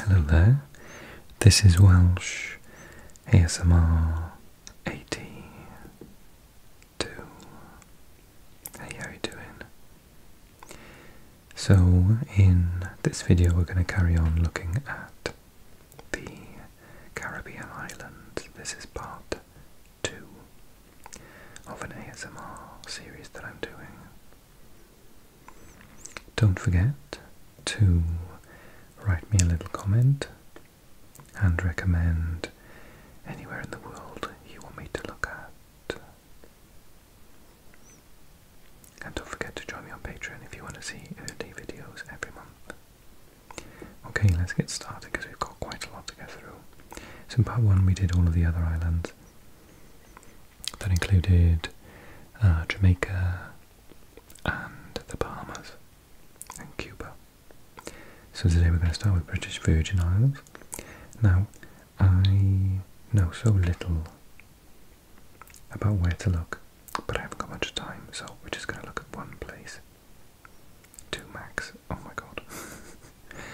Hello there, this is Welsh ASMR 82. how are you doing? So, in this video, we're going to carry on looking at the Caribbean islands. This is part two of an ASMR series that I'm doing. Don't forget to write me a little comment and recommend anywhere in the world you want me to look at. And don't forget to join me on Patreon if you want to see early videos every month. Okay, let's get started because we've got quite a lot to go through. So in part one we did all of the other islands. That included uh, Jamaica and the Bahamas and Cuba. So today we're going to start with British Virgin Islands. Now, I know so little about where to look, but I haven't got much time, so we're just going to look at one place. Two max. Oh my god.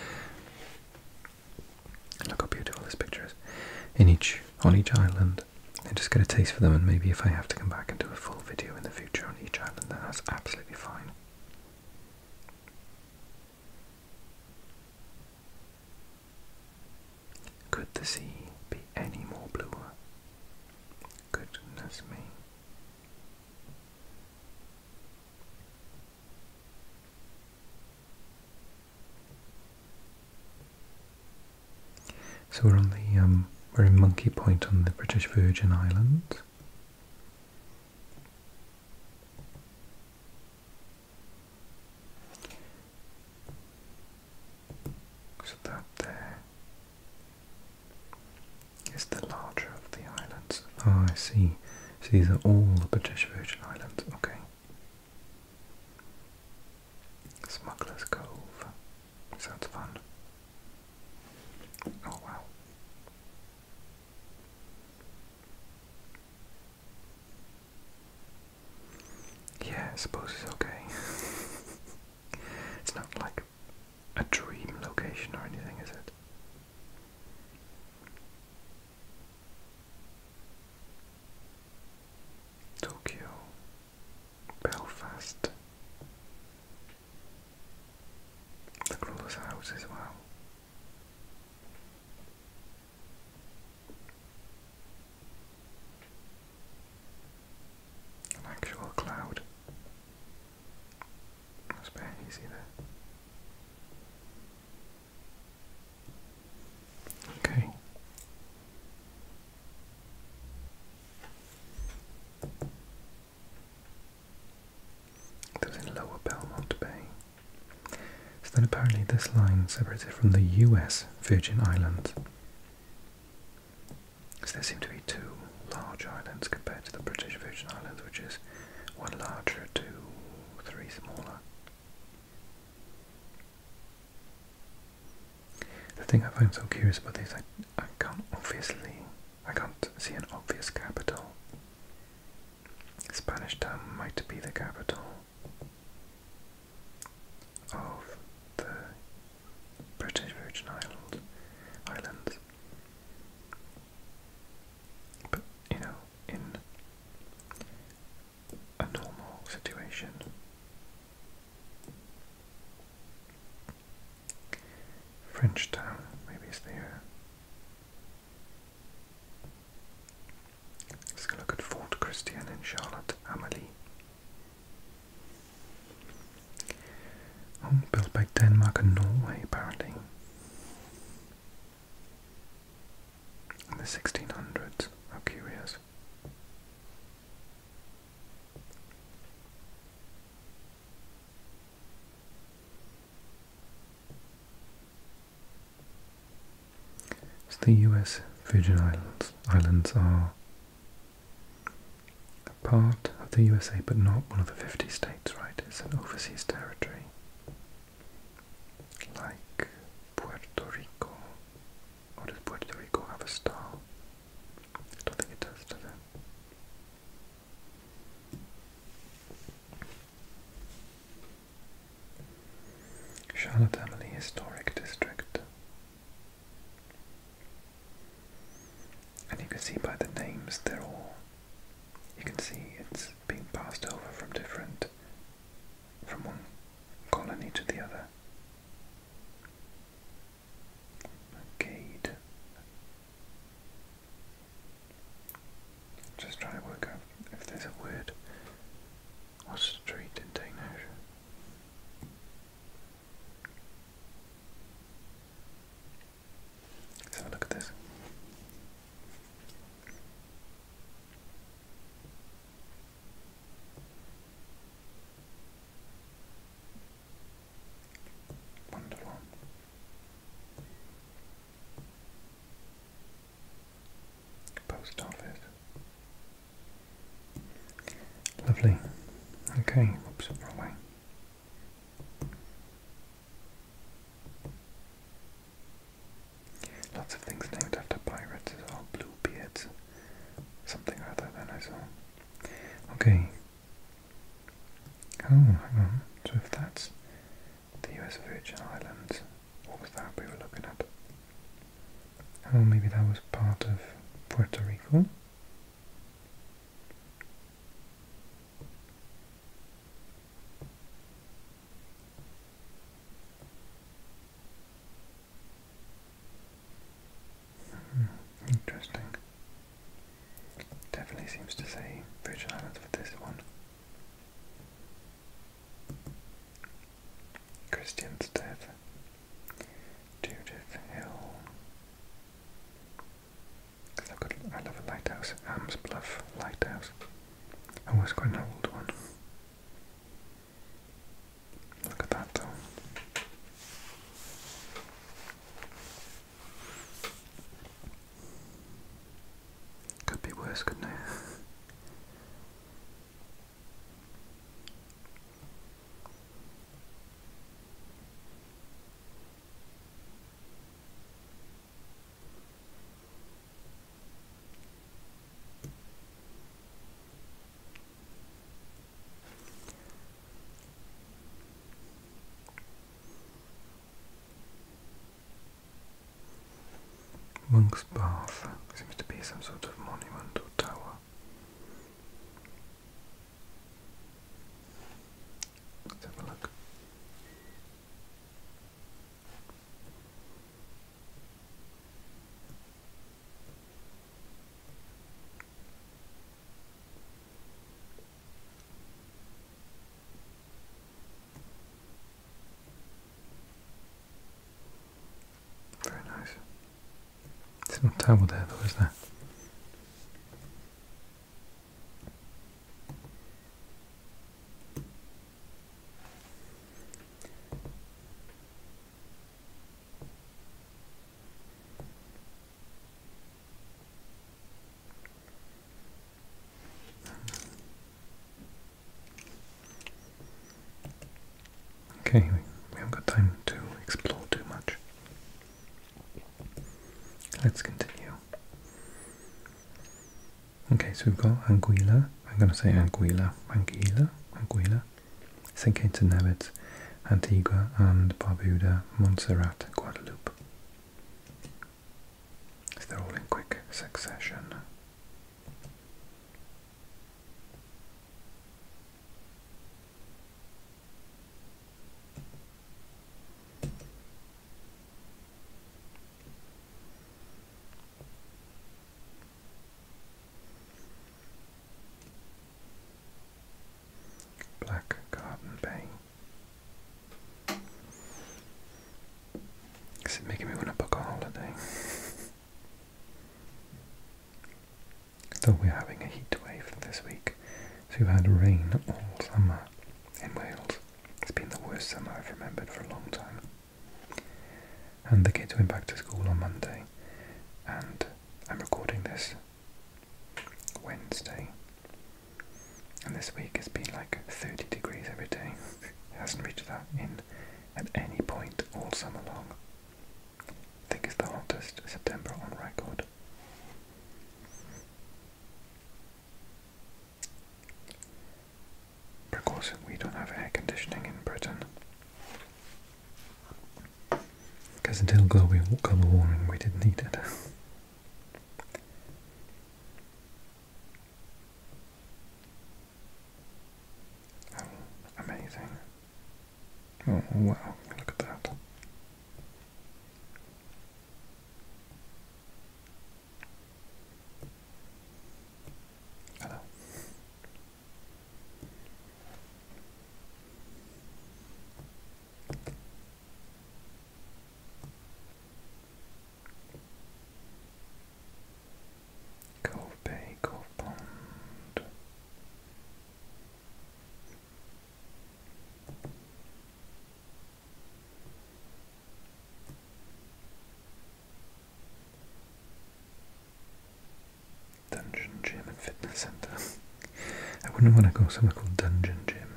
look how beautiful this picture is. In each on each island. And just get a taste for them and maybe if I have to come back and do a full video in the future on each island then that's absolutely fine. Could the sea be any more bluer? Goodness me. So we're on the um, we're in Monkey Point on the British Virgin Islands. So that there is the larger of the islands. Ah, oh, I see. So these are all the British Virgin Islands. Okay. Smuggler's Cove. Sounds fun. Oh wow. Yeah, I suppose it's okay. it's not like a dream location or anything, is it? Tokyo, Belfast. The close house as well. An actual cloud. That's very easy there. Okay. That in Lower Belmont Bay. So then apparently this line separates it from the US Virgin Islands. So there seem to be two large islands compared to the British Virgin Islands, which is one larger, two, three smaller. The thing I find so curious about this, I, I can't obviously, I can't see an obvious capital. Spanish town might be the capital of the British Virgin Islands. But, you know, in a normal situation. French town, maybe it's there. Let's look at Fort Christian in Charlotte Amalie. Oh, built by Denmark and Norway, apparently. In the 1600s, how curious the US Virgin Islands, Islands are a part of the USA but not one of the 50 states, right? It's an overseas territory. Like Puerto Rico, or does Puerto Rico have a star? I don't think it does, does Charlotte Amalie Historic District. And you can see by the names, they're all. You can see it's being passed over from different. from one colony to the other. Gade. Just trying to work out if there's a word or street in Danish. have a look at this. Wonderful. Post office. Lovely. Okay, whoops, wrong way. Lots of things named after pirates as Bluebeards. Something other than I saw. Okay. Oh, So if that's the US Virgin Islands, what was that we were looking at? Oh, maybe that was part of Puerto Rico? interesting. Definitely seems to say Virgin Islands with this one. Christian's death. Judith Hill. i love a lighthouse. Am's Lighthouse. Oh, quite an old one. Look at that though. Could be worse, couldn't it? Monk's Bath seems to be some sort of monument or tower. Let's have a look. Very nice. It's not terrible there though, is there? Okay, we haven't got time to explore too much. Let's continue. Okay, so we've got Anguilla. I'm going to say Anguilla, Anguilla, Anguilla. St. Kitts and Nevis, Antigua and Barbuda, Montserrat, Guadeloupe. So they're all in quick succession. Black Garden Bay. Is it making me want to book a holiday? Though we're having a heat wave this week, so we've had rain all summer in Wales. It's been the worst summer I've remembered for a long time. And the kids went back to school on Monday, and I'm recording this Wednesday. And this week has been like 30 degrees every day. It hasn't reached that in at any point all summer long. I think it's the hottest September on record. But of course, we don't have air conditioning in Britain. Because until global, global warming, we didn't need it. amazing. Oh, wow, look at that. Cove Bay, Cove Pond. Dungeon Gym and Fitness Center. I wouldn't want to go somewhere called Dungeon Gym.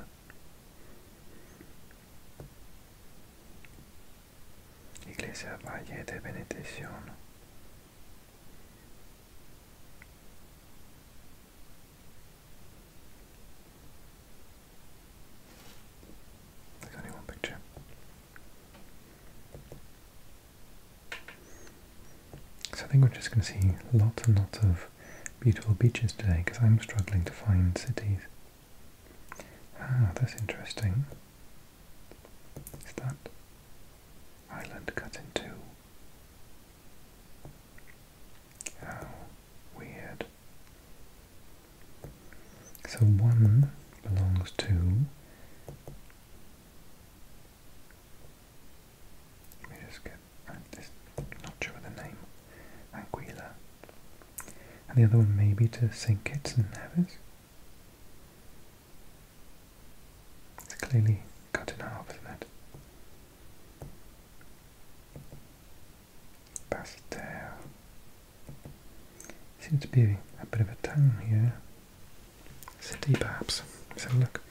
Iglesia Valle de There's only one picture. So I think we're just going to see lots and lots of beautiful beaches today because I'm struggling to find cities. Ah, that's interesting. Is that island cut in two? How weird. So one belongs to let me just get, i not sure the name, Anguilla. And the other one may be to sink it and have it. It's clearly cut in half, isn't it? Bastel. Seems to be a bit of a town here. City perhaps. Let's have a look.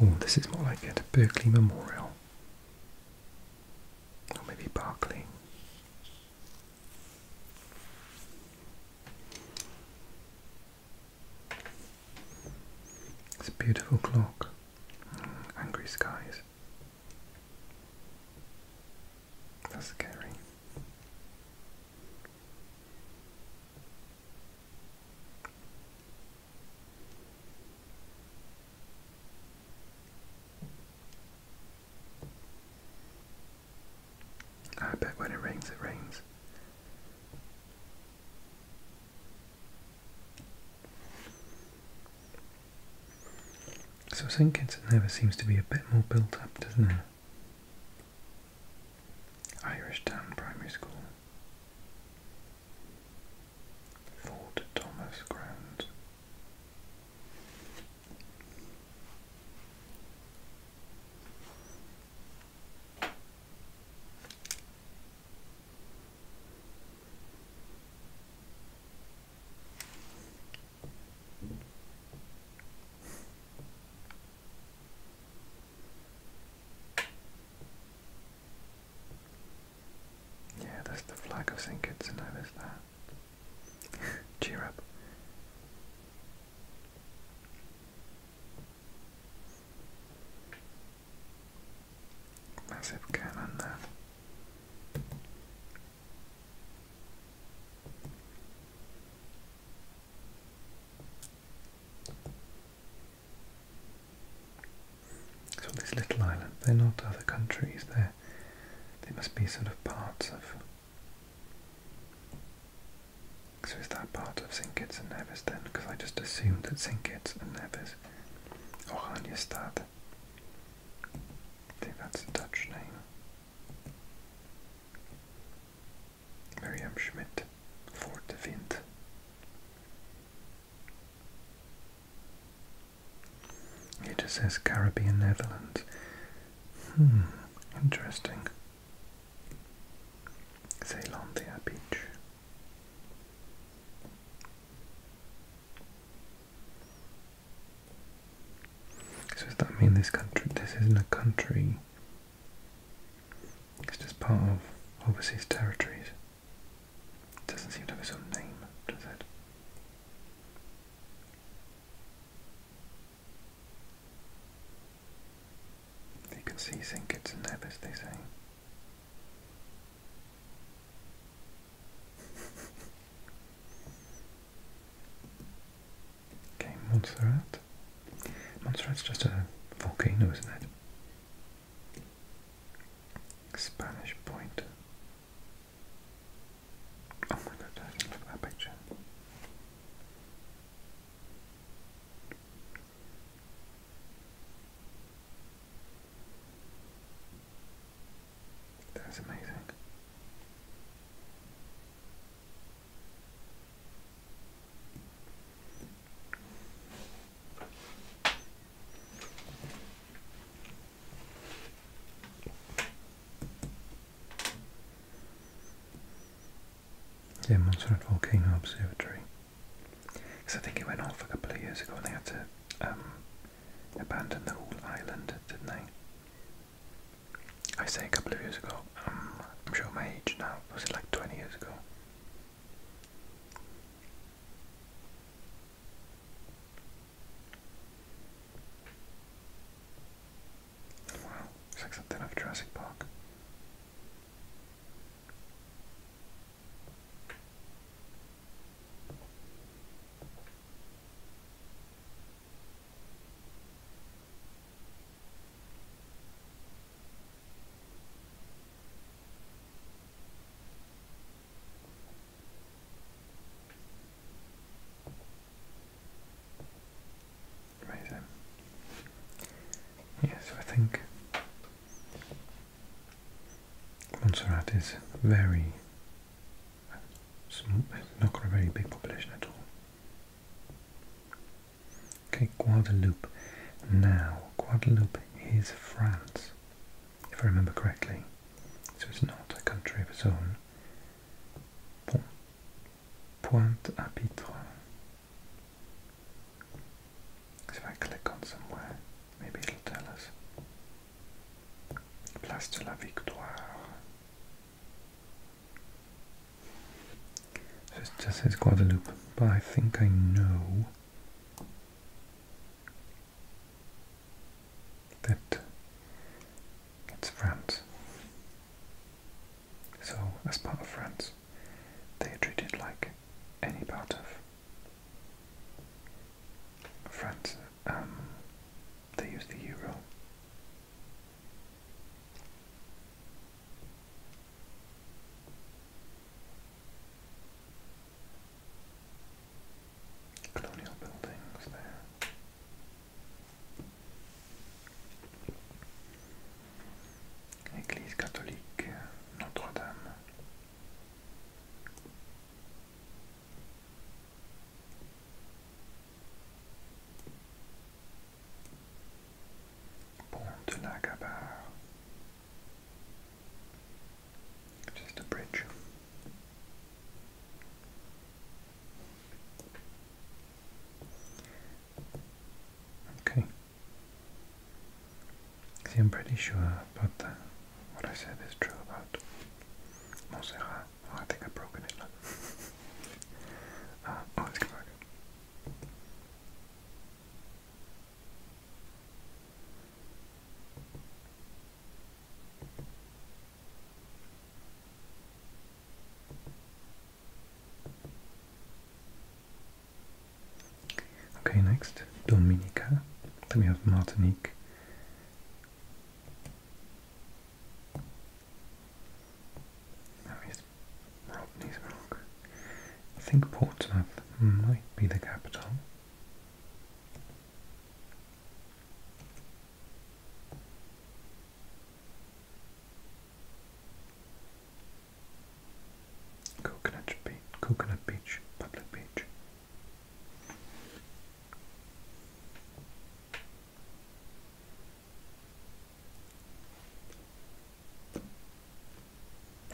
Oh, this is more like it. Berkeley Memorial. Or maybe Barclay. It's a beautiful clock. Mm, angry skies. That's scary. I bet when it rains, it rains. So St Kitts never seems to be a bit more built up, doesn't it? Irish Town Primary School, Fort Thomas Ground. Yeah, that's the flag of St. Kitts and Nevis. There. Cheer up. Massive cannon there. So this little island, they're not other countries, they they must be sort of parts of... So is that part of Sinkitz and Nevis then? Because I just assumed that Sinkitz and Nevis, Oranjestad, I think that's a Dutch name. Maryam Schmidt Fort de Vind. It just says Caribbean Netherlands. Hmm, interesting. Zeelandia Beach. So does that mean this country? This isn't a country it's just part of overseas territories. It doesn't seem to have a name, does it? You can see Zinkits and Nebis, they say. Okay, Montserrat. Montserrat's just a volcano, isn't it? Spanish Point. Oh my god, look at that picture. That's amazing. Yeah, Montserrat Volcano Observatory. Because I think it went off a couple of years ago and they had to um, abandon the whole island, didn't they? I say a couple of years ago, I'm sure my age now. Was it like 20 years ago? Wow, it's like something of Jurassic Park. Amazing. Yeah, I think Montserrat is very small, not got a very big population at all. Okay, Guadeloupe. Now, Guadeloupe is France, if I remember correctly. So it's not a country of its own. Pointe à Pitre. if I click on somewhere, maybe it'll tell us. Place de la Victoire. So it just says Guadeloupe, but I think I know that it's France. So, as part of France, they are treated like any part of France. Um, they use the euro. Colonial buildings there. Église catholique Notre-Dame. Pont de la Gabarre. Just a bridge. Okay. See, I'm pretty sure about What I said is true about Montserrat. Oh, I think I've broken it ah, oh, let's go back. Okay, next, Dominica. Then we have Martinique. Now we have Romney's milk. I think Portsmouth might be the capital. Coconut Beach, Coconut Beach, Public Beach.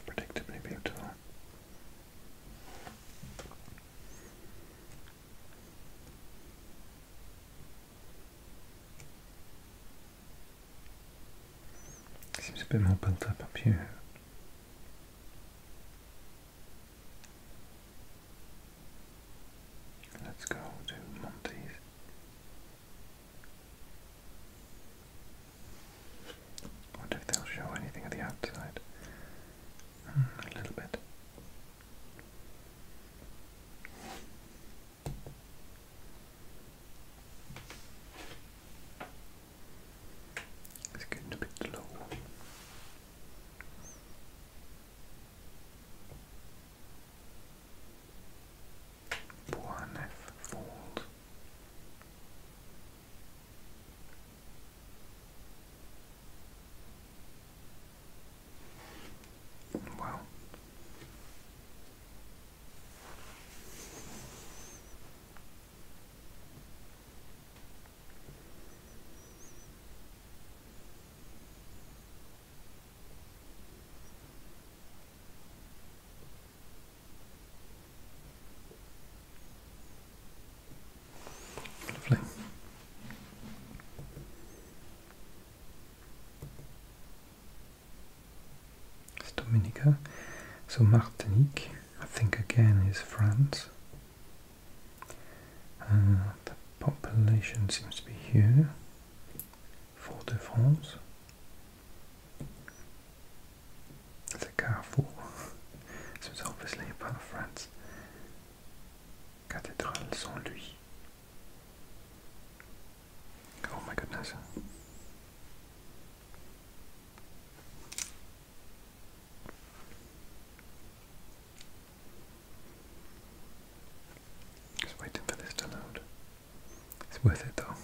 Predictably beautiful. Seems a bit more built up up here. Let's go to Monty's. I Wonder if they'll show anything of the outside. Hmm, a little bit. It's getting a bit low. Bournemouth Fold. Well, Dominica. So Martinique, I think again is France. Uh, the population seems to be here. Fort de France the Carrefour. this it's obviously a part of France. Cathédrale sans lui. Oh my goodness. Just waiting for this to load. It's worth it though.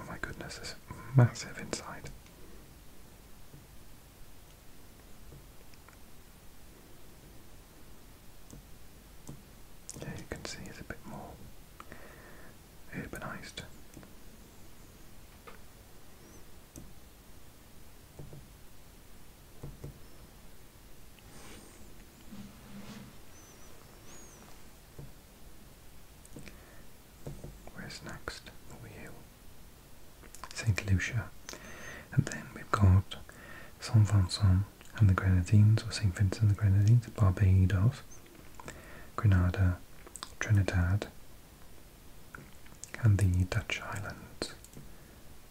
Oh my goodness, it's massive inside. Yeah, you can see it's a bit more urbanized. Where's next? St. Lucia. And then we've got St. Vincent and the Grenadines, or St. Vincent and the Grenadines, Barbados, Grenada, Trinidad, and the Dutch islands.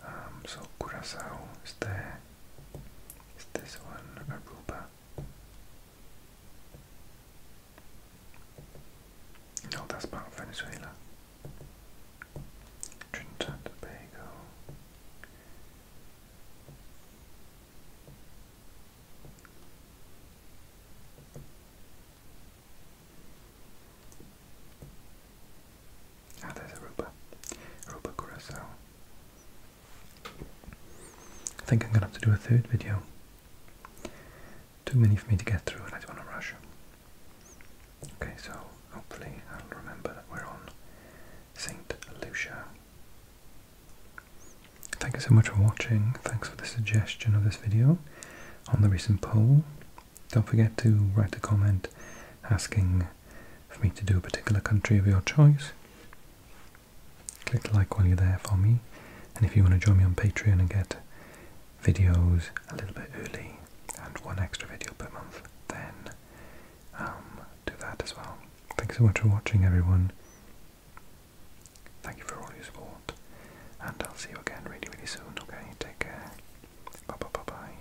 Um, so Curacao is there. Is this one Aruba? No, that's part Venezuela. Trinidad and Tobago. Ah, there's Aruba. Aruba Curacao. I think I'm gonna have to do a third video. Too many for me to get through and I don't want to rush. Okay, so hopefully I'll remember that we're on St. Lucia. Thank you so much for watching. Thanks for the suggestion of this video on the recent poll. Don't forget to write a comment asking for me to do a particular country of your choice. Click like while you're there for me. And if you want to join me on Patreon and get videos a little bit early and one extra video per month, then um, do that as well. Thanks so much for watching, everyone. Thank you for all your support. And I'll see you again really, really soon, okay? Take care. Bye bye bye bye.